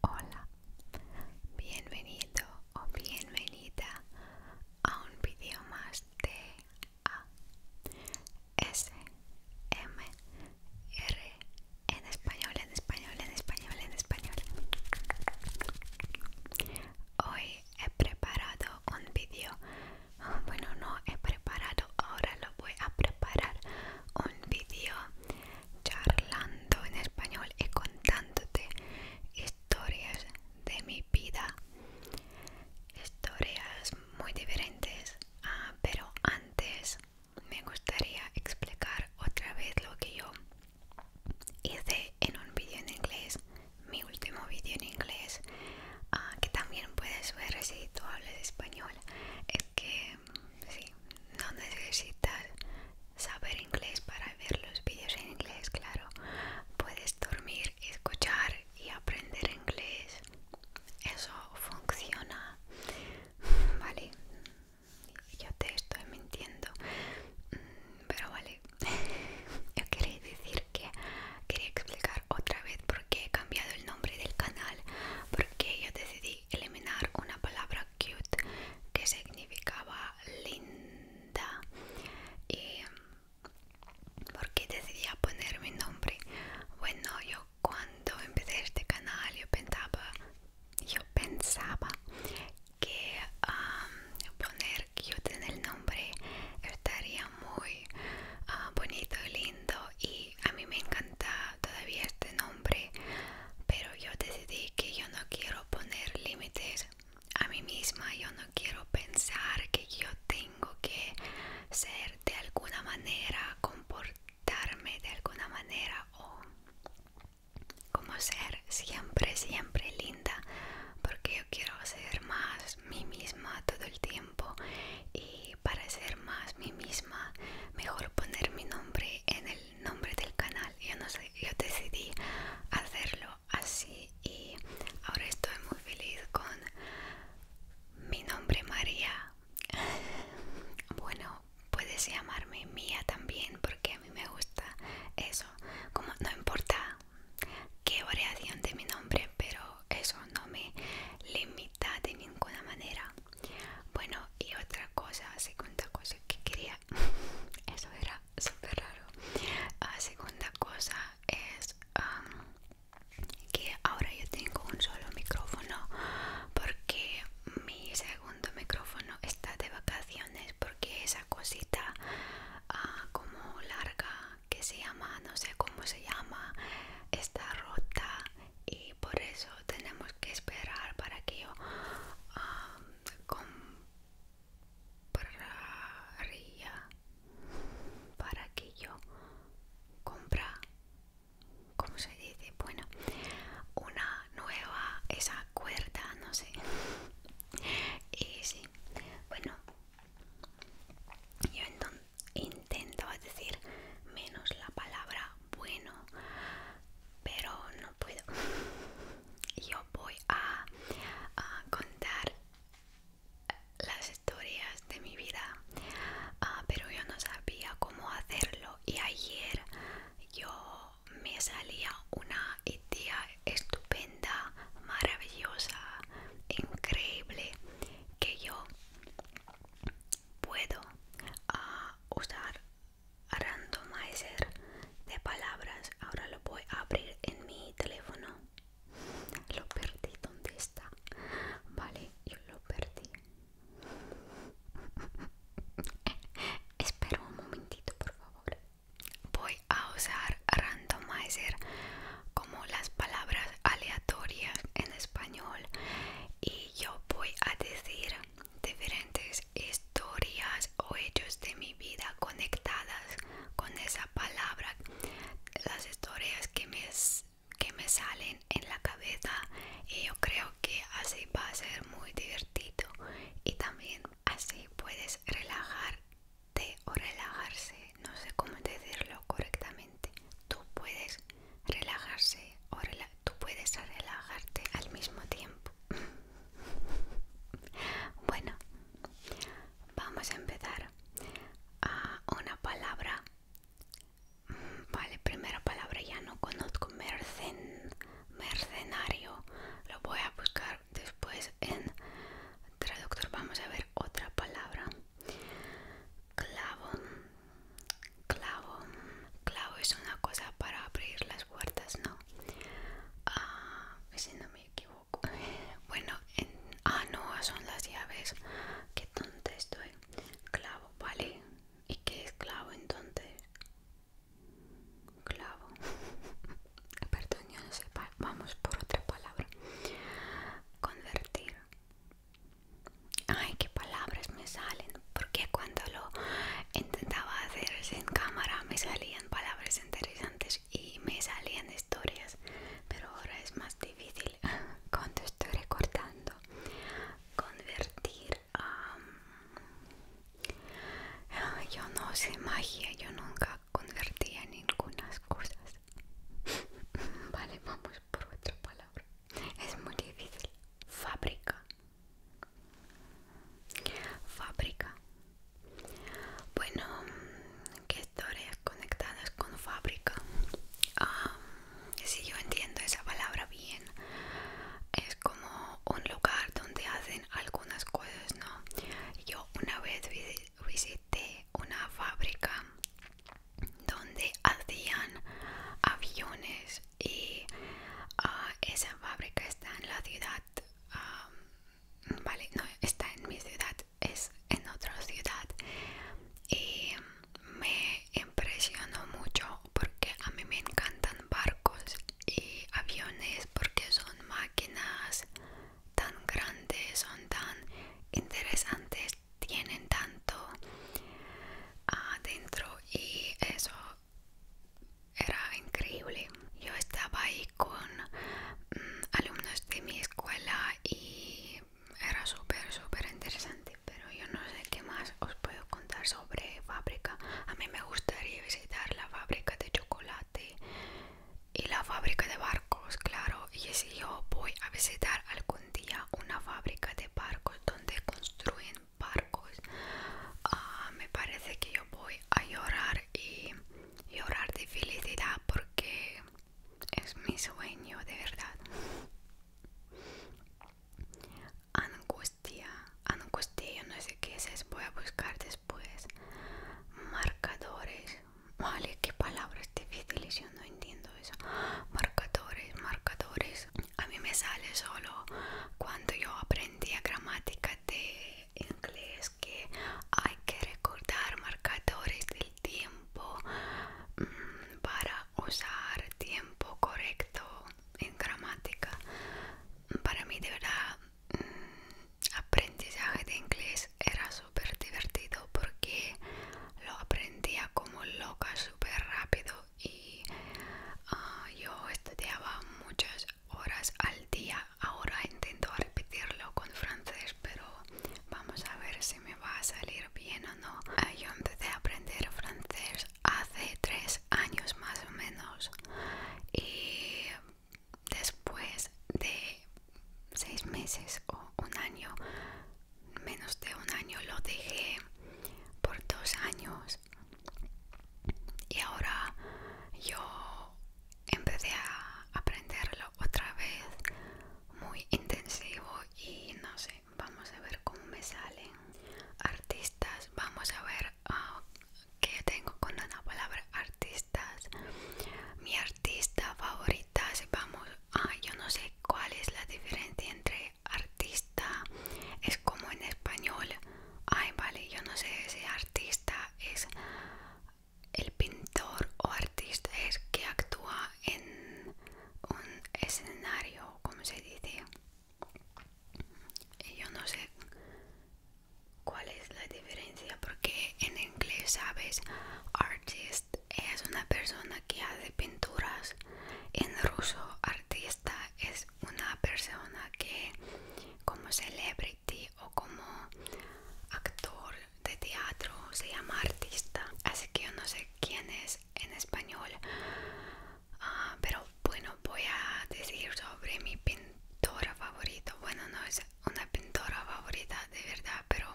Hola, bienvenido o bienvenida a un vídeo más de A S M R en español, en español, en español, en español. Hoy he preparado un vídeo, bueno no he preparado, ahora lo voy a preparar un vídeo charlando en español y contándote historias de mi vida historias muy diferentes ah, pero antes me gustaría explicar otra vez lo que yo hice en un vídeo en inglés mi último vídeo en inglés ah, que también puedes ver si tú hablas español que sí, no necesitas saber inglés para ver los vídeos en inglés, claro. Puedes dormir, escuchar y aprender inglés. Eso funciona. Vale, yo te estoy mintiendo. Pero vale, yo quería decir que quería explicar otra vez por qué he cambiado el nombre del canal. Porque yo decidí eliminar una palabra cute que significaba linda y porque decidía poner mi nombre bueno yo cuando empecé este canal yo pensaba yo pensaba que poner cute en el nombre estaría muy ah, bonito bonito lindo y a mí me encanta todavía este nombre, pero yo decidí que yo no quiero poner límites a mí misma, yo no quiero pensar que yo tengo que ser de alguna manera, comportarme de alguna manera o como ser siempre, siempre linda, porque yo quiero ser más mí misma todo el tiempo y para ser más mí misma, mejor poner mi nombre en el nombre del canal yo no sé yo decidí hacerlo así y ahora estoy muy feliz con mi nombre María bueno puedes llamarme Mía también porque a mí me gusta eso como no importa qué variación de mi nombre pero eso no me limita de ninguna manera bueno y otra cosa segunda cosa que quería eso era súper raro. La ah, segunda cosa es que ahora yo tengo un solo micrófono porque mi segundo micrófono está de vacaciones porque esa cosita ah, como larga que se llama, no sé cómo se llama, está rota y por eso tenemos que esperar para que yo compraría para que yo compra como se dice bueno una nueva esa cuerda no sé y eh, sí bueno yo intentaba decir menos la palabra bueno pero no puedo. Yo voy a, contar las historias de mi vida, ah, pero yo no sabía cómo hacerlo y ayer yo me salía una idea estupenda, maravillosa, increíble que yo puedo ah, usar randomizer de palabras. Ahora lo voy a abrir en mi teléfono. Lo perdí. ¿Dónde está? Vale, yo lo perdí. espero un momentito, por favor. Voy a usar randomizer como las palabras aleatorias en español y yo voy a decir diferentes historias o hechos de mi vida conectadas con esa palabra las historias que me, que me salen en la cabeza y eh, yo creo que así va a ser muy divertido y también así puedes relajarte o relajarse no sé cómo decirlo correctamente tú puedes relajarse o relajarse tú puedes relajarte al mismo tiempo. bueno, vamos a empezar a una palabra. Vale, primera palabra ya no conozco. Mercen, mercenario. Lo voy a buscar después en traductor. Vamos a ver otra palabra. Clavo. Clavo. Clavo es una cosa para abrir las puertas, ¿no? Ah, si no me equivoco bueno en, ah no son las llaves qué tonta estoy clavo vale y qué es clavo entonces clavo perdón yo no sé vamos por otra palabra convertir ay qué palabras me salen porque cuando lo intentaba hacer en cámara me salían palabras interesantes y me salían historias pero ahora es más difícil cuando estoy recortando convertir a yo no sé magia yo nunca convertía ninguna cosas vale vamos por otra palabra es muy difícil fábrica Fábrica. Bueno, ¿qué historias conectadas con fábrica? si yo entiendo esa palabra bien, es como un lugar donde hacen algunas cosas, ¿no? Yo una vez visité una fábrica donde hacían aviones y ah, esa fábrica está en la ciudad Um, vale, no está en mi ciudad, es en otra ciudad y me impresionó mucho porque a mí me encantan barcos y aviones porque son máquinas tan grandes, son tan interesantes, tienen tanto adentro ah, y eso era increíble. Yo estaba ahí con mm, alumnos de mi escuela y era súper, súper interesante. Pero yo no sé qué más os puedo contar sobre fábrica. A mí me gustaría visitar la fábrica de chocolate y la fábrica de barcos, claro. Y si yo voy a visitar algún día una fábrica de barcos donde construyen barcos ah, me parece que yo voy a llorar y llorar de felicidad porque es mi sueño de verdad angustia angustia no sé qué es, eso, voy a buscar después marcadores vale qué palabras difíciles yo no entiendo eso marcadores marcadores a mí me sale solo cuando yo aprendí a gramática de inglés que hay que recordar marcadores del tiempo mm, para usar tiempo correcto en gramática. Para mí de verdad mm, aprendizaje de inglés era súper divertido porque lo aprendía como loca súper rápido y ah, yo estudiaba muchas horas al día. Ahora intento repetirlo con francés, pero vamos a ver si me va a salir bien o no. Ah, yo empecé a aprender francés hace tres años más o menos y después de seis meses o un año, menos de un año lo dejé por dos años pues. Y ahora yo empecé a aprenderlo otra vez muy intensivo y no sé, vamos a ver cómo me salen artistas, vamos a ver ah, qué tengo con la palabra artistas. Mi artista favorita, vamos, ah, yo no sé cuál es la diferencia entre artista, es como en español ay vale, yo no sé si artista es el pintor o artista es que actúa en un escenario, como se dice. Y yo no sé cuál es la diferencia porque en inglés sabes artist es una persona que hace pinturas en ruso artista es una persona que como celebrity o como actor de teatro se llama artista así que yo no sé quién es en español ah, pero bueno voy a decir sobre mi pintora favorita bueno no es una pintora favorita de verdad pero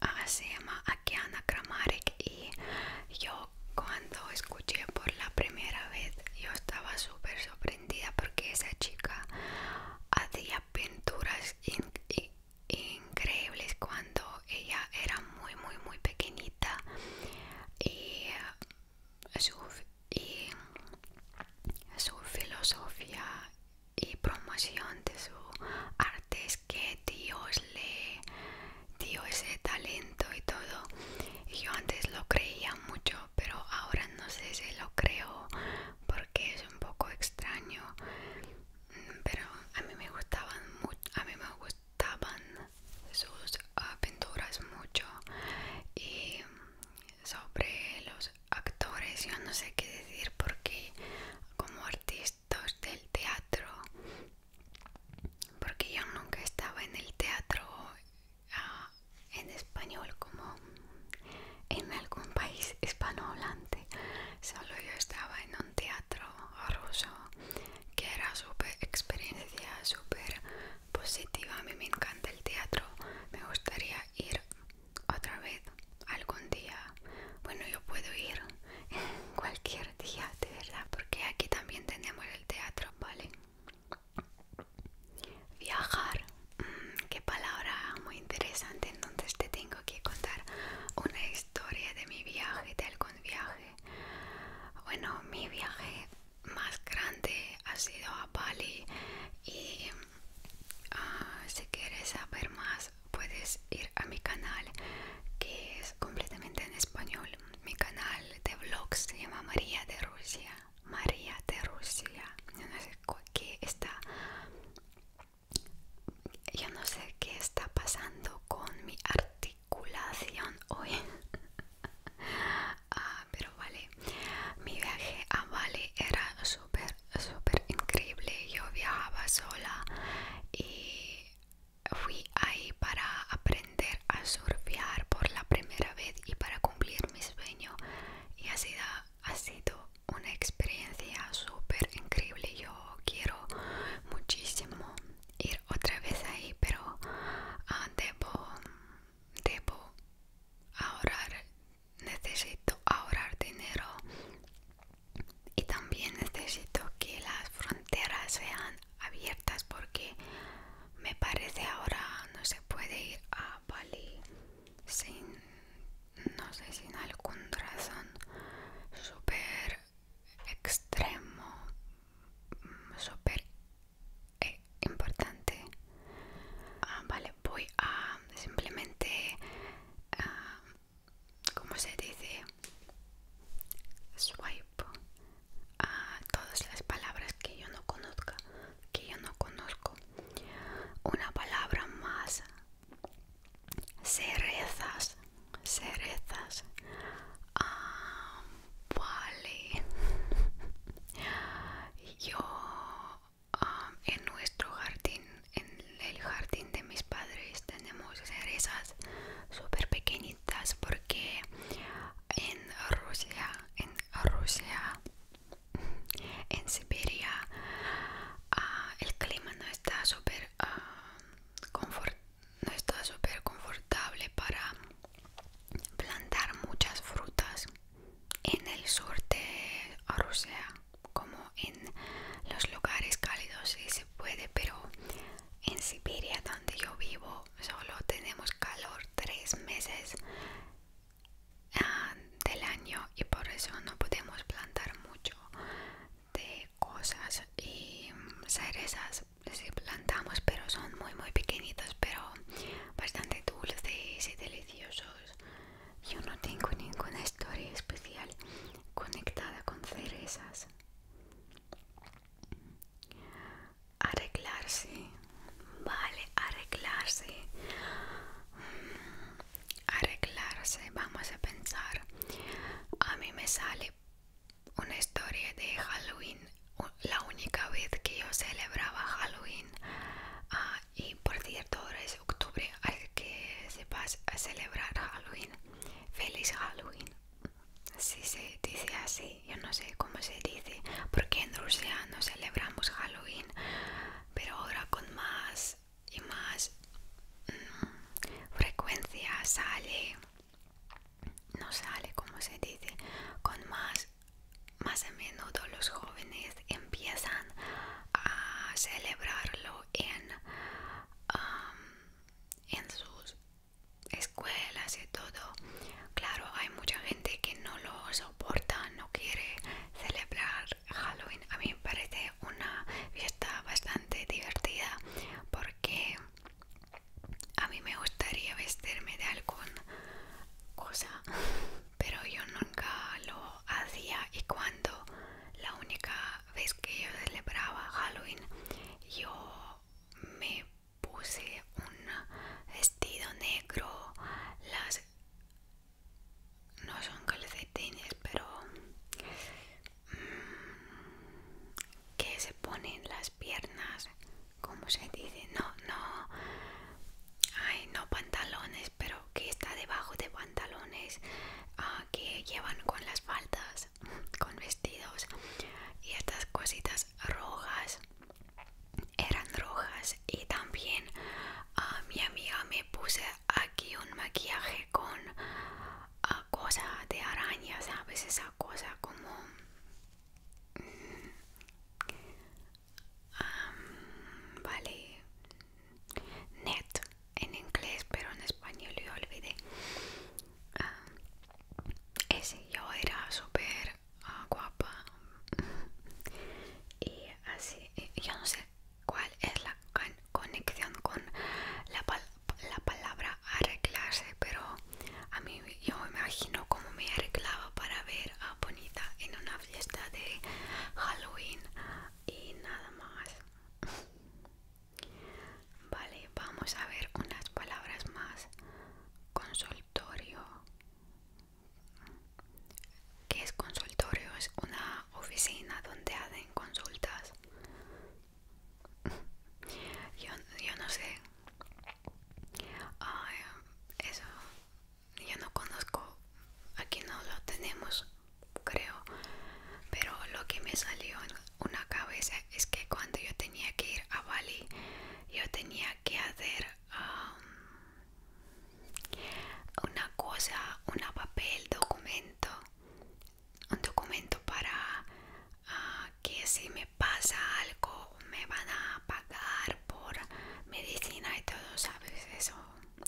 ah, se llama Akiana Kramarek y yo cuando escuché por la primera vez yo estaba súper porque esa chica hacía pinturas increíbles cuando ella era muy muy muy pequeñita y su, su filosofía y promoción de su arte es que Dios le dio ese talento y todo. yo antes lo creía mucho pero ahora no sé si lo creo porque es un poco extraño. Pero a mí me gustaban a mí me gustaban sus aventuras ah, mucho y sobre los actores yo no sé qué decir porque como artistas del teatro porque yo nunca estaba en el teatro en español como en algún país hispanohablante. Solo yo estaba en un teatro ruso que era súper experiencia, súper positiva. A mí me encanta el teatro. Me gustaría ir otra vez algún día. Bueno, yo puedo ir cualquier día, de verdad, porque aquí también tenemos el teatro, ¿vale? Viajar, mm, qué palabra muy interesante. Entonces te tengo que contar una historia de mi viaje, de algún viaje. Bueno, mi viaje más grande ha sido a Bali y ah, si quieres saber más puedes ir a mi canal que es completamente en español. Mi canal de vlogs se llama María de Rusia. María de Rusia. Yo no sé qué está. no sé qué está pasando con mi articulación hoy. Ah, pero vale, mi viaje a vale era súper, súper increíble. Yo viajaba sola y fui ahí para aprender a surfear por la primera vez y para cumplir mi sueño y ha sido, ha sido una experiencia súper increíble yo quiero muchísimo ir otra vez ahí pero ah, debo debo ahorrar necesito ahorrar dinero y también necesito que las fronteras sean abiertas porque me parece ahora no se puede ir a Bali sin no sé sin algún razón súper extremo súper eh, importante ah, vale voy a simplemente ah, como se dice swipe a todas las palabras que yo no conozca, que yo no conozco. Una palabra más. Cerezas, cerezas. Ah, vale. Yo ah, en nuestro jardín, en el jardín de mis padres, tenemos cerezas súper pequeñitas porque en Rusia, en Rusia, en Siberia, ah, el clima no está súper ah, no está súper confortable para plantar muchas frutas en el sur de Rusia como en los lugares cálidos sí se puede pero en Siberia donde yo vivo solo tenemos calor tres meses Ah, del año y por eso no podemos plantar mucho de cosas y mm, cerezas si plantamos pero son muy muy pequeñitos pero bastante dulces y deliciosos yo no tengo ninguna historia especial conectada con cerezas arreglarse, vale, arreglarse, mm, arreglarse, vamos a pensar, a mí me sale una historia de Halloween, la única vez que yo celebraba Halloween, ah, y por cierto, ahora es octubre, hay que a celebrar Halloween, feliz Halloween, si se dice así yo no sé cómo se dice, porque en Rusia no celebramos Halloween, pero ahora con más y más mm, frecuencia sale, no sale como se dice, con más, más a menudo los jóvenes empiezan a celebrarlo en, en sus escuelas y todo. Claro, hay mucha gente que no lo soporta, no quiere celebrar Halloween. A mí me parece una fiesta bastante divertida porque a mí me gustaría vestirme de alguna cosa, pero yo nunca lo hacía y cuando la única vez que yo celebraba Halloween yo me puse un vestido negro, las no son calcetines, pero mm, que se ponen las piernas, como se dice, no, no, ay, no pantalones, pero que está debajo de pantalones, ah, que llevan con las faldas, con vestidos y estas cositas rojas eran rojas y también a ah, mi amiga me puse aquí un maquillaje con ah, cosa de araña sabes esa cosa como mm, vale net en inglés pero en español yo olvidé ah, ese yo era súper Ah, guapa y así yo no sé cuál es la conexión con la, la palabra arreglarse pero a mí yo me imagino como me arreglaba para ver a Bonita en una fiesta de Halloween y nada más Vale, vamos a ver unas palabras más. Consultorio que es consultorio, es una oficina donde hacen consultas. Yo, yo no sé. eso yo no conozco. Aquí no lo tenemos, creo. Pero lo que me salió en una cabeza es que cuando yo tenía que ir a Bali, yo tenía que hacer um, una cosa, un papel, documento, un documento para ah, que si me pasa algo me van a pagar por medicina y todo, ¿sabes? Eso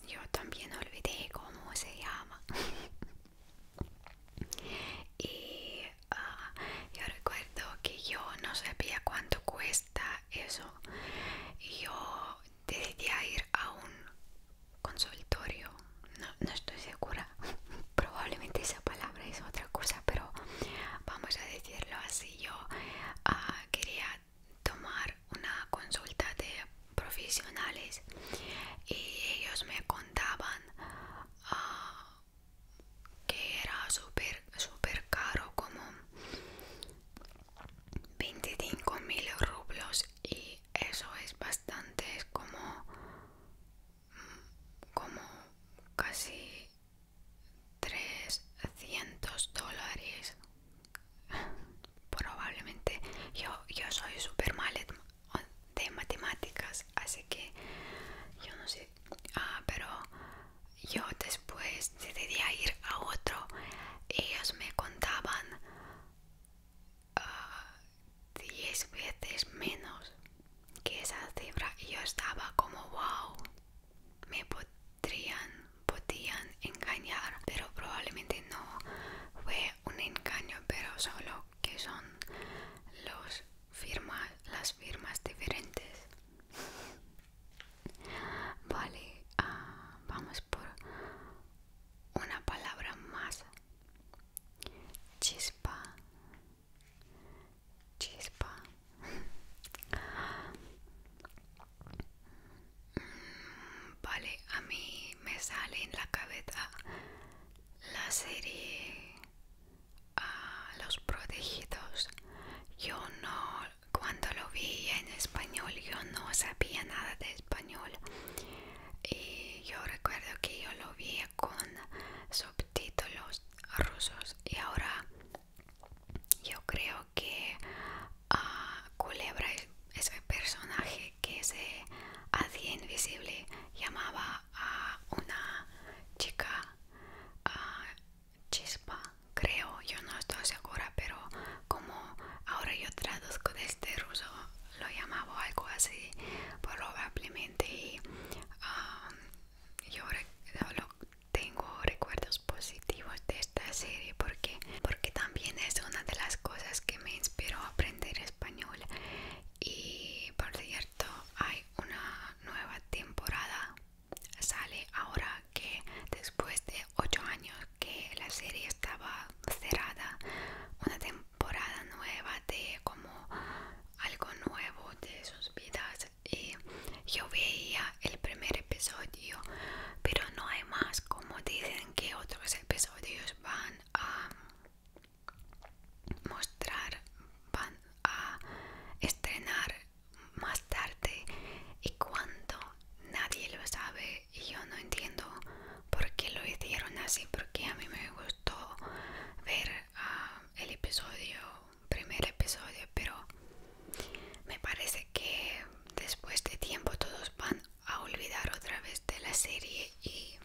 yo también olvidé cómo se llama. y ah, yo recuerdo que yo no sabía cuánto cuesta eso y yo decidí ir a un consultorio no, no estoy segura probablemente esa palabra es otra cosa pero vamos a decirlo así yo ah, quería tomar una consulta de profesionales y ellos me contaban ah, que era súper súper caro como 25.000 rublos y eso es bastante, como, como casi 300 dólares. Probablemente yo, yo soy super mal de matemáticas, así que yo no sé, ah, pero yo después decidí ir a otro ellos me contaban 10 ah, veces menos que esa cifra y yo estaba como wow me podrían podían engañar pero probablemente no fue un engaño pero solo que son los firmas las firmas diferentes Vale, ah, vamos por una palabra más. Chispa. Chispa. Mm, vale, a mí me sale en la cabeza la serie a ah, Los Protegidos. Yo no cuando lo vi en español yo no sabía nada de español y yo recuerdo que yo lo vi con subtítulos rusos y ahora yo creo que ah, Culebra ese personaje que se hacía invisible llamaba a una chica ah, chispa, creo, yo no estoy segura, pero como ahora yo traduzco desde este ruso, lo llamaba algo así, probablemente. Y, um, yo tengo recuerdos positivos de esta serie porque, porque también es una de las cosas que me inspiró a aprender español. Y por cierto, hay una nueva temporada sale ahora que después de 8 años que la serie estaba cerrada una temporada nueva de como algo nuevo de sus vidas y yo veía el primer episodio pero no hay más como dicen que otros episodios van a mostrar van a estrenar más tarde y cuando nadie lo sabe y yo no entiendo por qué lo hicieron así porque a mí me gustó ver ah, el episodio primer episodio pero me parece que después de tiempo todos van a olvidar otra vez de la serie y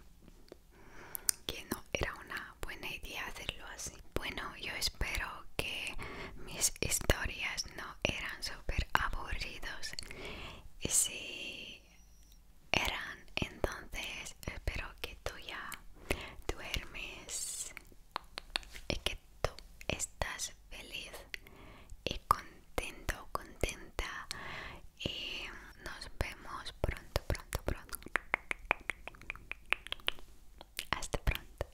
que no era una buena idea hacerlo así bueno yo espero que mis historias no eran súper aburridos y si eran entonces espero que tú ya duermes y que tú estás feliz y contento contenta y nos vemos pronto pronto pronto hasta pronto